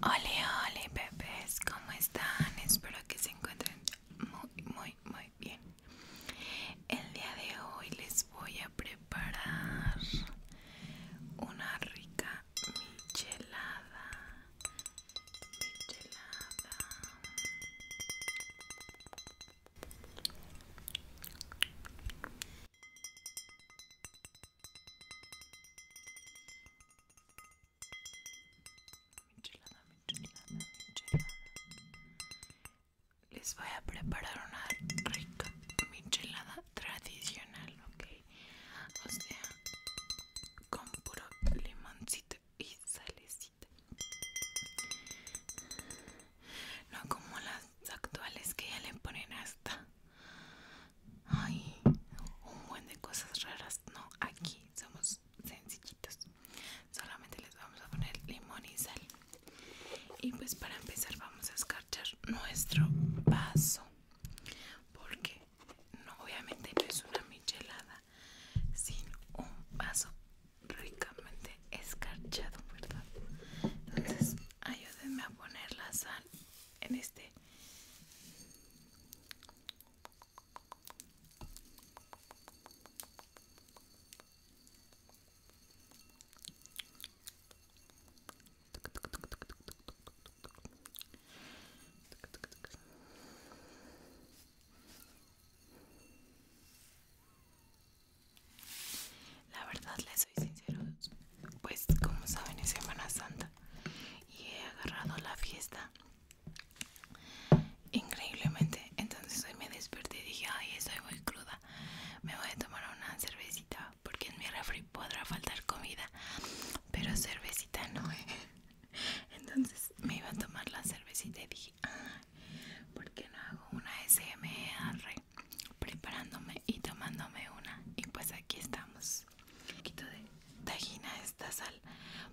Hola, hola bebés, ¿cómo están? Espero que se encuentren muy, muy, muy bien. El día de hoy les voy a preparar una rica michelada. Michelada. Michelada, minchelada michelada. Les voy a preparar una rica michelada tradicional, ¿ok? O sea, con puro limoncito y sales no como las actuales que ya le ponen hasta. un buen de cosas raras. No, aquí somos sencillitos. Solamente les vamos a poner limón y sal. Y pues para empezar vamos a escarchar nuestro vaso. Porque no, obviamente no es una michelada, Sin un vaso ricamente escarchado, ¿verdad? Entonces, ayúdenme a poner la sal en este. La verdad les soy sincero, pues como saben es Semana Santa y he agarrado la fiesta increíblemente. Entonces hoy me desperté y dije, ay, estoy muy cruda, me voy a tomar una cervecita porque en mi refri podrá faltar comida, pero cervecita no. Entonces me iba a tomar la cervecita y dije, porque no hago una SMR preparándome y tomándome una y pues aquí estamos un poquito de tajina esta sal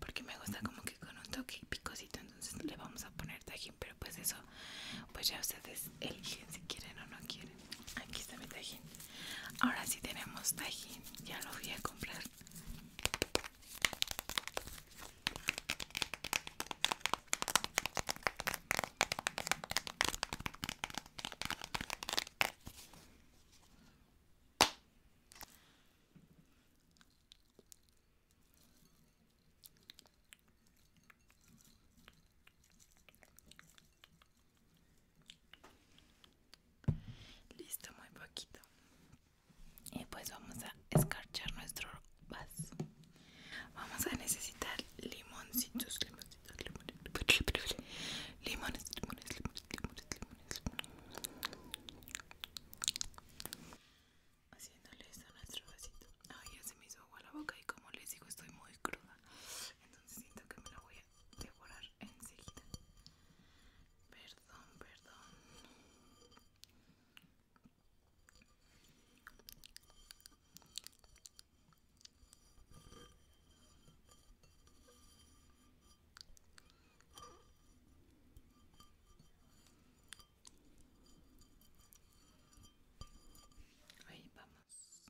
porque me gusta como que con un toque picosito entonces le vamos a poner tajín pero pues eso pues ya ustedes eligen si quieren o no quieren aquí está mi tajín ahora sí tenemos tajín ya lo voy a comprar Listo, muy poquito. Y pues vamos a escarchar nuestro Vamos a necesitar limoncitos, limoncitos, limoncitos, limones, limones, limones, limones, limones. Haciéndole esto a nuestro vasito. Ay, ya se me hizo agua la boca y como les digo estoy muy cruda. Entonces siento que me la voy a devorar enseguida. Perdón, perdón. Ahí vamos.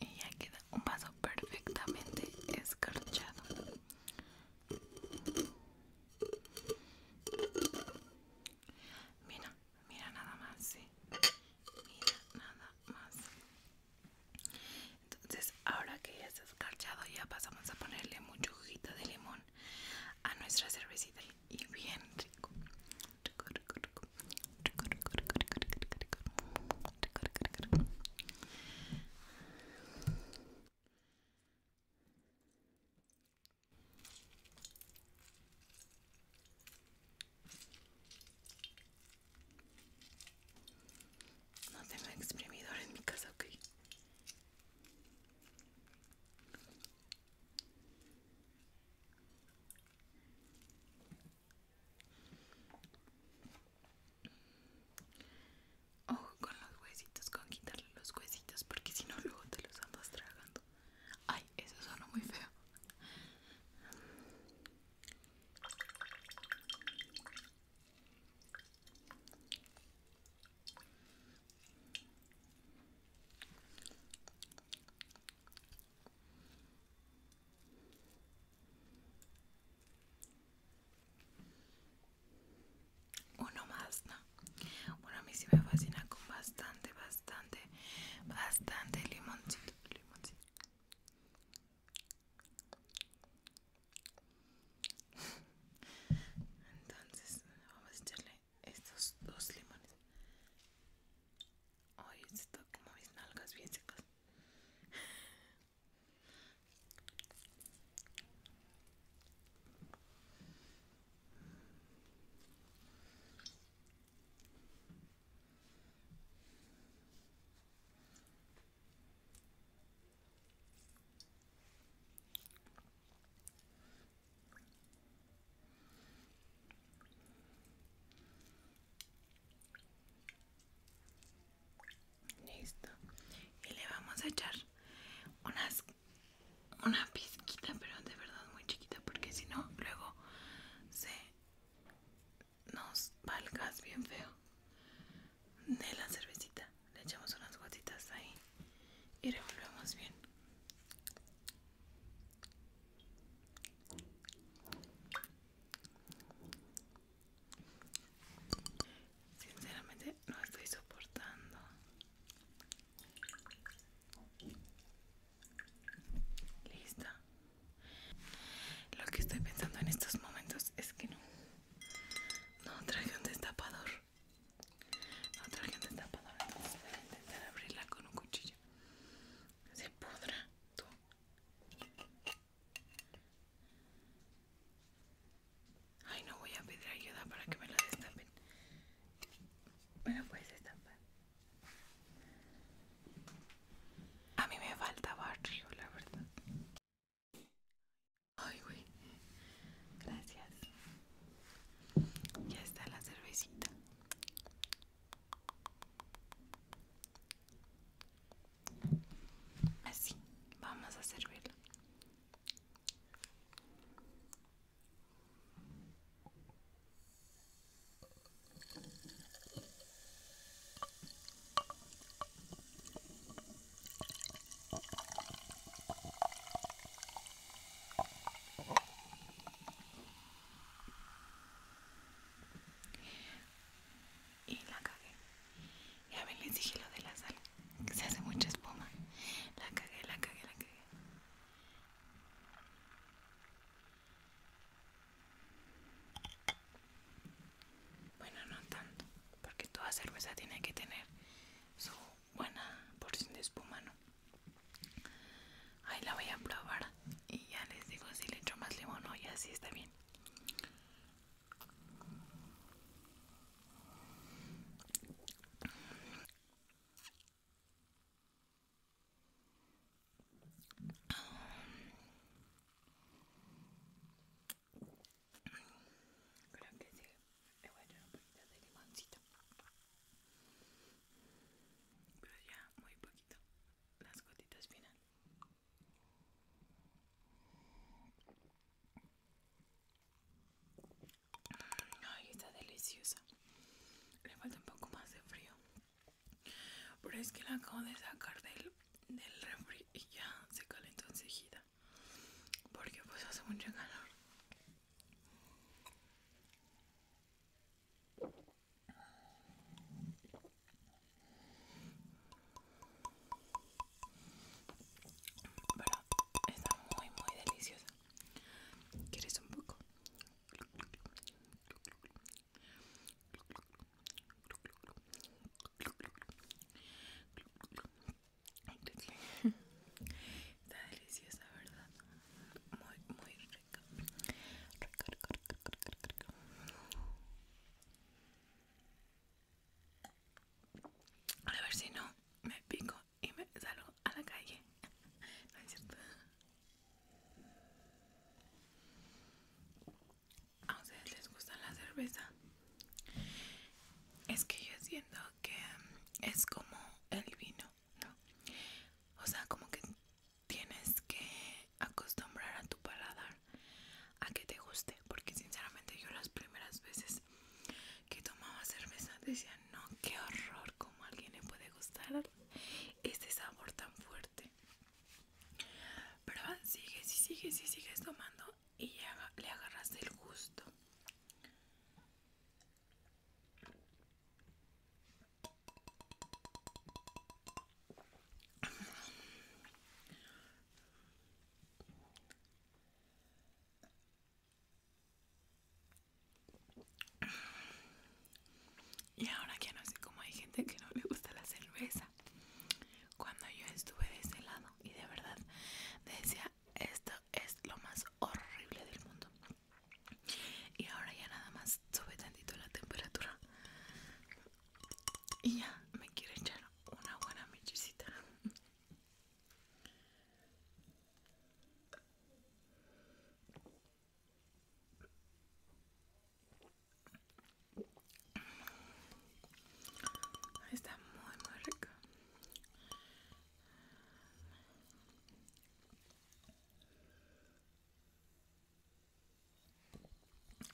Y ya queda un vaso perfectamente escarchado. Mira, mira nada más, sí. Mira nada más. Entonces ahora que ya está escarchado ya pasamos a ponerle mucho juguito de limón a nuestra cervecita y bien rico. No tengo exprimidor en mi casa, ok. Ojo con los huesitos, con quitarle los huesitos, porque si no luego te los andas tragando. Ay, eso suena muy feo. Uno más, ¿no? Bueno, a mí sí me fascina con bastante, bastante, bastante limoncito, limoncito. Entonces vamos a echarle estos dos limones. Hoy esto está como mis nalgas bien secas. Listo. Y le vamos a echar unas una pizquita, pero de verdad muy chiquita, porque si no luego se nos valgas bien feo de la cervecita. Le echamos unas gotitas ahí y revolvemos bien. Sinceramente no estoy soportando. Lista. Lo que estoy pensando en estos momentos es que no. No traje un destapador. No traje un destapador. Entonces voy a intentar abrirla con un cuchillo. Se pudra tú. Ay, no voy a pedir ayuda para que me la destapen. ¿Me la puedes destapar? A mí me falta barrio, la verdad. Ay, güey. Gracias. Ya está la cervecita. Así, vamos a servirla. Y la cagué. a ver, les dije lo de la sal. Que se hace mucha espuma. La cagué, la cagué, la cagué. Bueno, no tanto, porque toda cerveza tiene que tener su buena porción de espuma, ¿no? Ahí la voy a probar y ya les digo si le echo más limón o ya así está bien. Creo que sí. Le voy a echar un poquito de limoncito. Pero ya muy poquito. Las gotitas final. Ay, está delicioso Le falta un poco más de frío. Pero es que la acabo de sacar del, refri y ya se calentó enseguida. Porque pues hace mucho calor. Bueno, está muy muy deliciosa. ¿Quieres un poco? Está deliciosa, ¿verdad? Muy, muy rica. A ver si no me pico y me salgo a la calle. No es cierto a ustedes les gusta la cerveza es que yo siento que mm, es como el vino no o sea como que tienes que acostumbrar a tu paladar a que te guste porque sinceramente yo las primeras veces que tomaba cerveza decía no qué horror como a alguien le puede gustar este sabor tan fuerte pero ah, sigue, si sigue, si sigues tomando y le agarras el gusto. Y ahora ya no sé cómo hay gente que no le gusta la cerveza cuando yo estuve de ese lado y de verdad decía esto es lo más horrible del mundo y ahora ya nada más sube tantito la temperatura y ya me quiero echar una buena mechicita Está muy muy rico.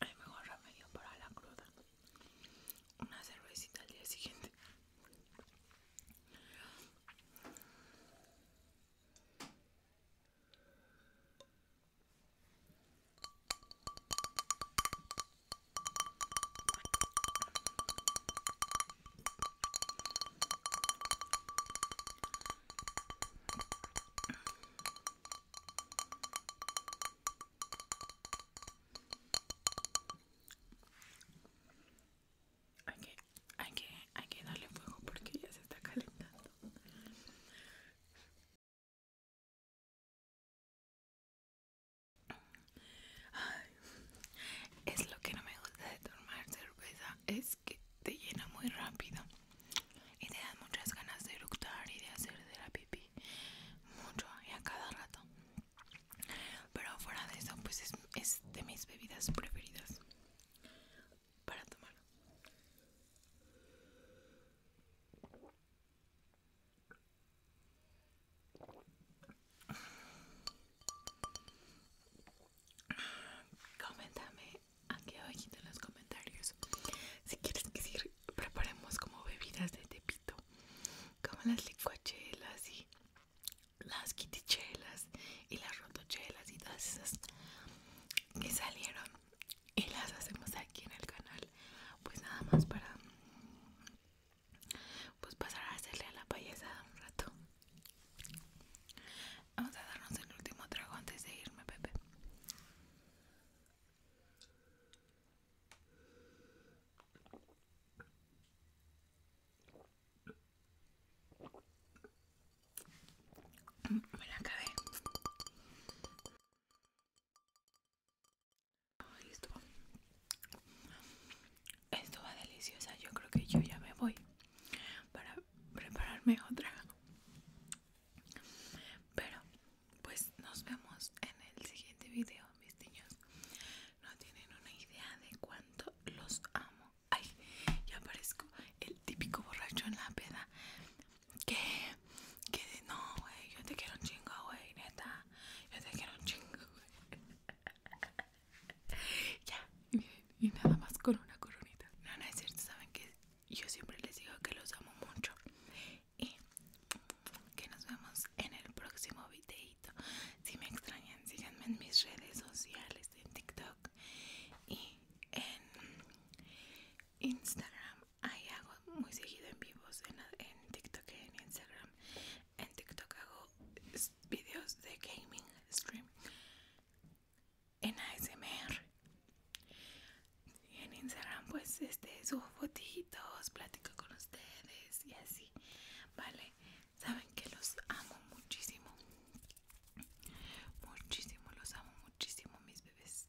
El mejor remedio para la cruda. Una cervecita al día siguiente. Hay que, hay que, hay que darle fuego porque ya se está calentando es lo que no me gusta de tomar cerveza, es que te llena muy rápido y te da muchas ganas de luctar y de hacer de la pipí mucho y a cada rato. Pero fuera de eso, pues es, es de mis bebidas preferidas para tomar. Coméntame aquí abajito en los comentarios si quieres que preparemos como bebidas de tepito, como las licuachelas y las quitichelas y las rotochelas y todas esas que salieron y las hacemos aquí en el canal pues nada más para pues pasar a hacerle a la payasa un rato vamos a darnos el último trago antes de irme Pepe mm, me la acabé esto va deliciosa. Yo creo que yo ya me voy para prepararme otra. Pero pues nos vemos en el siguiente video, mis niños. No tienen una idea de cuánto los amo. Ay, ya parezco el típico borracho en la peda que, que no, güey, yo te quiero un chingo, güey, neta, yo te quiero un chingo, güey. ya, y, nada más con una coronita. No, no es cierto, saben que yo siempre les digo que los amo mucho y que nos vemos en el próximo videito. Si me extrañan, síganme en mis redes sociales, en TikTok y en Instagram ahí hago muy seguido en vivos en, en TikTok y en Instagram. En TikTok hago videos de gaming stream. En ASMR. Y en Instagram pues este subo fotitos, platico con ustedes y así. Vale, saben que los amo muchísimo. Muchísimo, los amo muchísimo mis bebés.